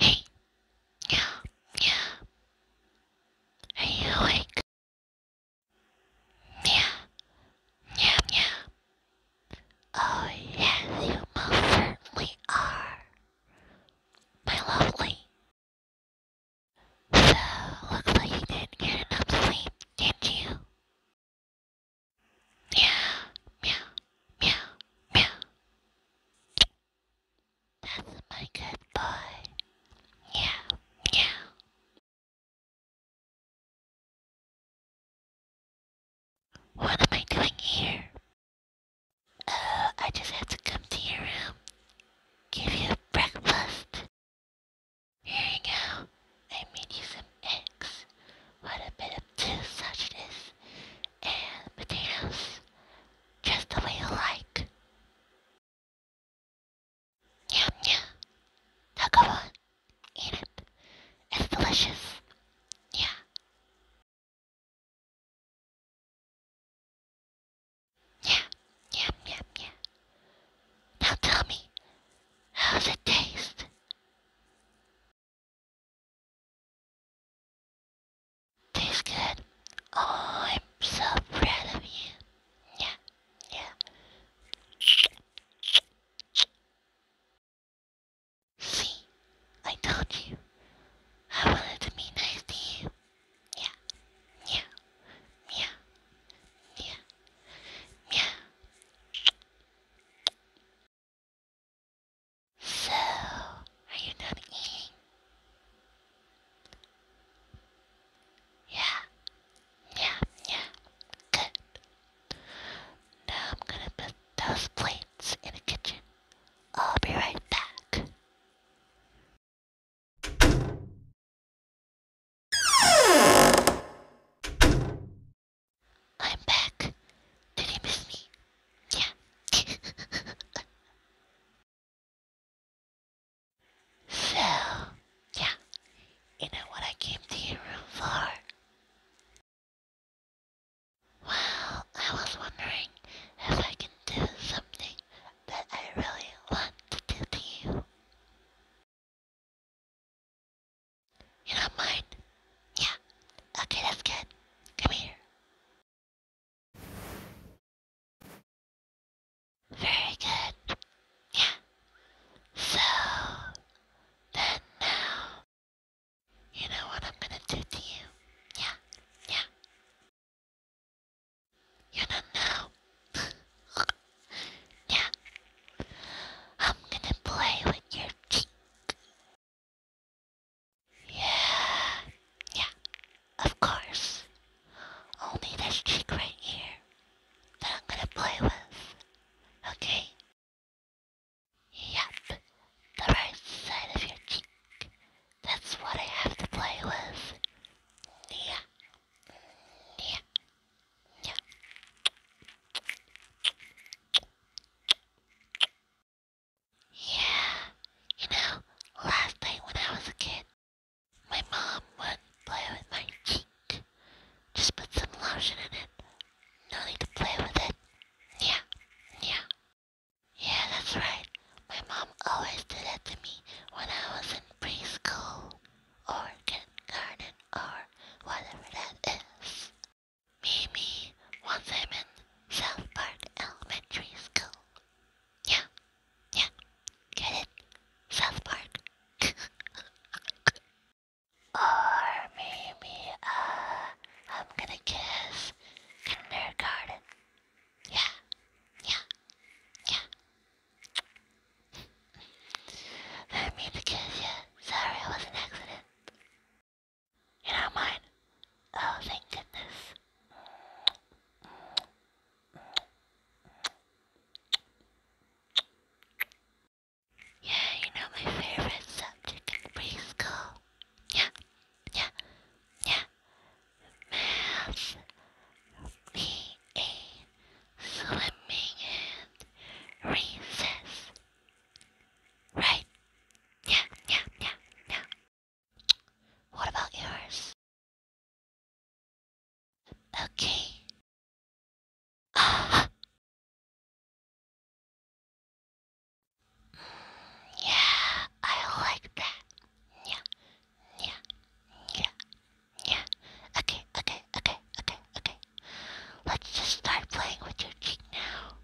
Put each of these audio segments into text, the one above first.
Hey. Yeah. Yeah. Are you awake? Yeah. Yeah. Yeah. Oh yes, you most certainly are. My lovely, so, looks like you didn't get enough sleep, did you? Meow, meow, meow, meow. That's my good boy. Meow, meow. What am I doing here? Oh, I just had to come to your room, give you breakfast. Here you go. I made you some eggs. What a bit of two sausages and potatoes. Just the way you like. Yum yum. Now go on. Eat it. It's delicious. Yeah. Yeah, yeah, yeah, yeah. Now tell me, how's it taste? Tastes good. Oh, I'm so proud of you. Yeah, yeah. See, I told you. I wanted to be nice to you meow, meow, meow, meow, meow. So, are you not eating? Yeah, yeah, yeah. Good. Now I'm gonna put those plates in the kitchen. I'll be right back. I'm back. Did you miss me? Yeah. so, yeah. You know what I came to your room for? Well, I was wondering if I can do something that I really want to do to you. You don't mind? Yeah. Okay, that's good. Come here. Very good. Yeah. So, then now, you know what I'm gonna do to you. Yeah, yeah. You don't know. yeah. I'm gonna play with your cheek. Yeah. Yeah. Of course. Only this cheek right here that I'm gonna play with. Okay? Yep. The right side of your cheek. That's what I have to play with. Yeah. Yeah. Yeah. Yeah. You know, last night when I was a kid, my mom would play with my cheek. Just put some lotion in it. No need to play with it. Yeah. Yeah. Yeah, that's right. My mom always did that to me when I was in preschool or kindergarten or whatever that is. Maybe once I'm in South Park Elementary School. Yeah, yeah, get it? South Park. or maybe, uh, I'm gonna guess kindergarten. Yeah, yeah, yeah. Let me to you. Sorry, it was an accident. You're mine. Oh, thank goodness. Yeah, you know my favorite subject in preschool. Yeah, yeah, yeah. Math me a and recess. Right? Yeah, yeah, yeah, yeah. What about yours? Okay. Ah yeah, I like that. Yeah, yeah, yeah, yeah. Okay, okay, okay, okay, okay. Let's just start playing with your cheek now.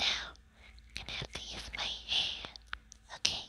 Now, gonna have to use my hand. Okay.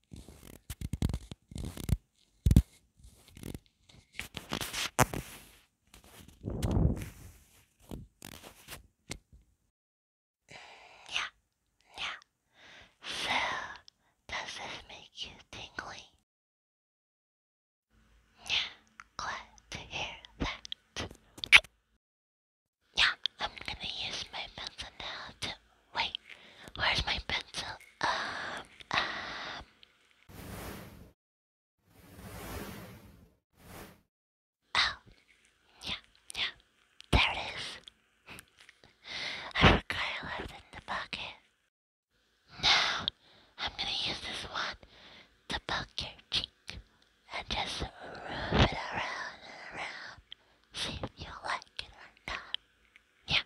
Yeah, yeah. So, does this make you tingly? Yeah, glad to hear that. Yeah, I'm gonna use my pencil now to Wait, where's my pencil? Um, um. Oh, yeah, yeah. There it is. I forgot I left it in the bucket. Now, I'm gonna use this one to poke your cheek and just rub it around and around. See if you like it or not. Yeah.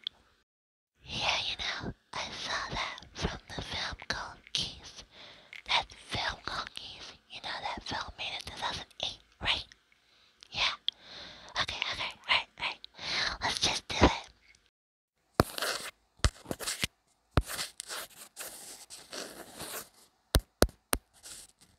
Yeah, you know, I saw that from the film called Keys. That film called Keys. You know that film made in 2008, right? Yeah. Okay, okay, alright, alright. Let's just do it.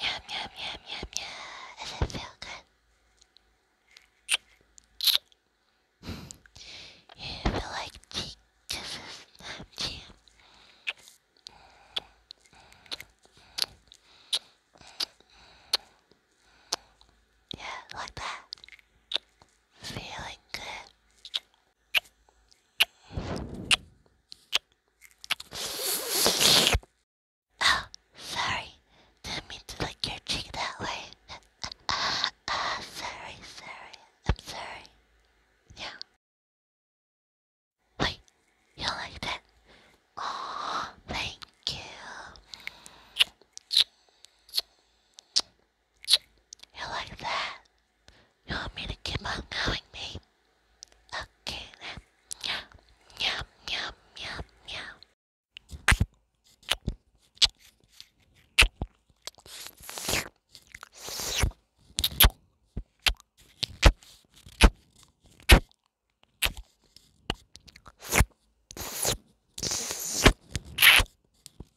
Yum, yum, yum, yum, yum. Does it feel good? you feel like cheek kisses, not cheek. Yeah, like that. Feeling good. Oh, sorry. Didn't mean to lick your cheek that way. Ah, uh, sorry, sorry. I'm sorry. Yeah. Wait, you like that? Oh, thank you. You like that? You want me to keep on going, babe? Okay then. Yum, yum, yum, yum, yum.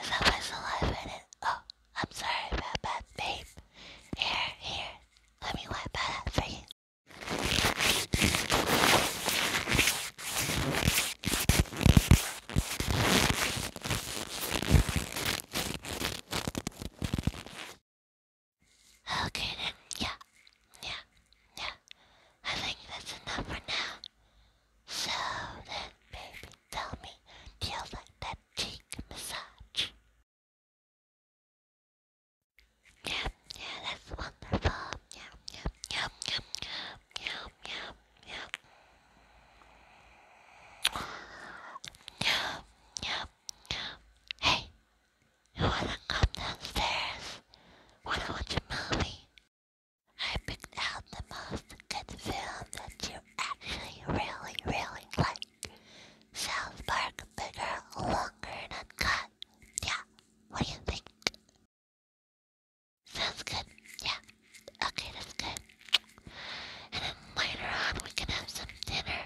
Is that my saliva in it? Oh, I'm sorry about that, babe. Here, here. Let me wipe that out Okay then, yeah, yeah, yeah. I think that's enough for now. So then, baby, tell me, do like that cheek massage. Yum, yeah, that's wonderful. Yum, yum, yum, yum, yum, yum, yum. Yum, yum, yum. Hey, you wanna come downstairs? Wanna watch a movie? I picked out the most good film that you actually really, really like South Park bigger, longer, and uncut. Yeah, what do you think? Sounds good, yeah. Okay, that's good. And then later on, we can have some dinner.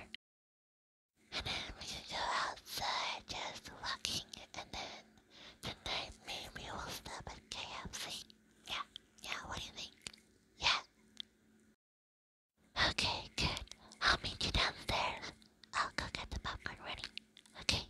And then we can go outside just walking. And then tonight, maybe we'll stop at KFC. Yeah, yeah, what do you think? Yeah. Okay, good. I'll meet you downstairs. I'll go get the popcorn ready. Okay.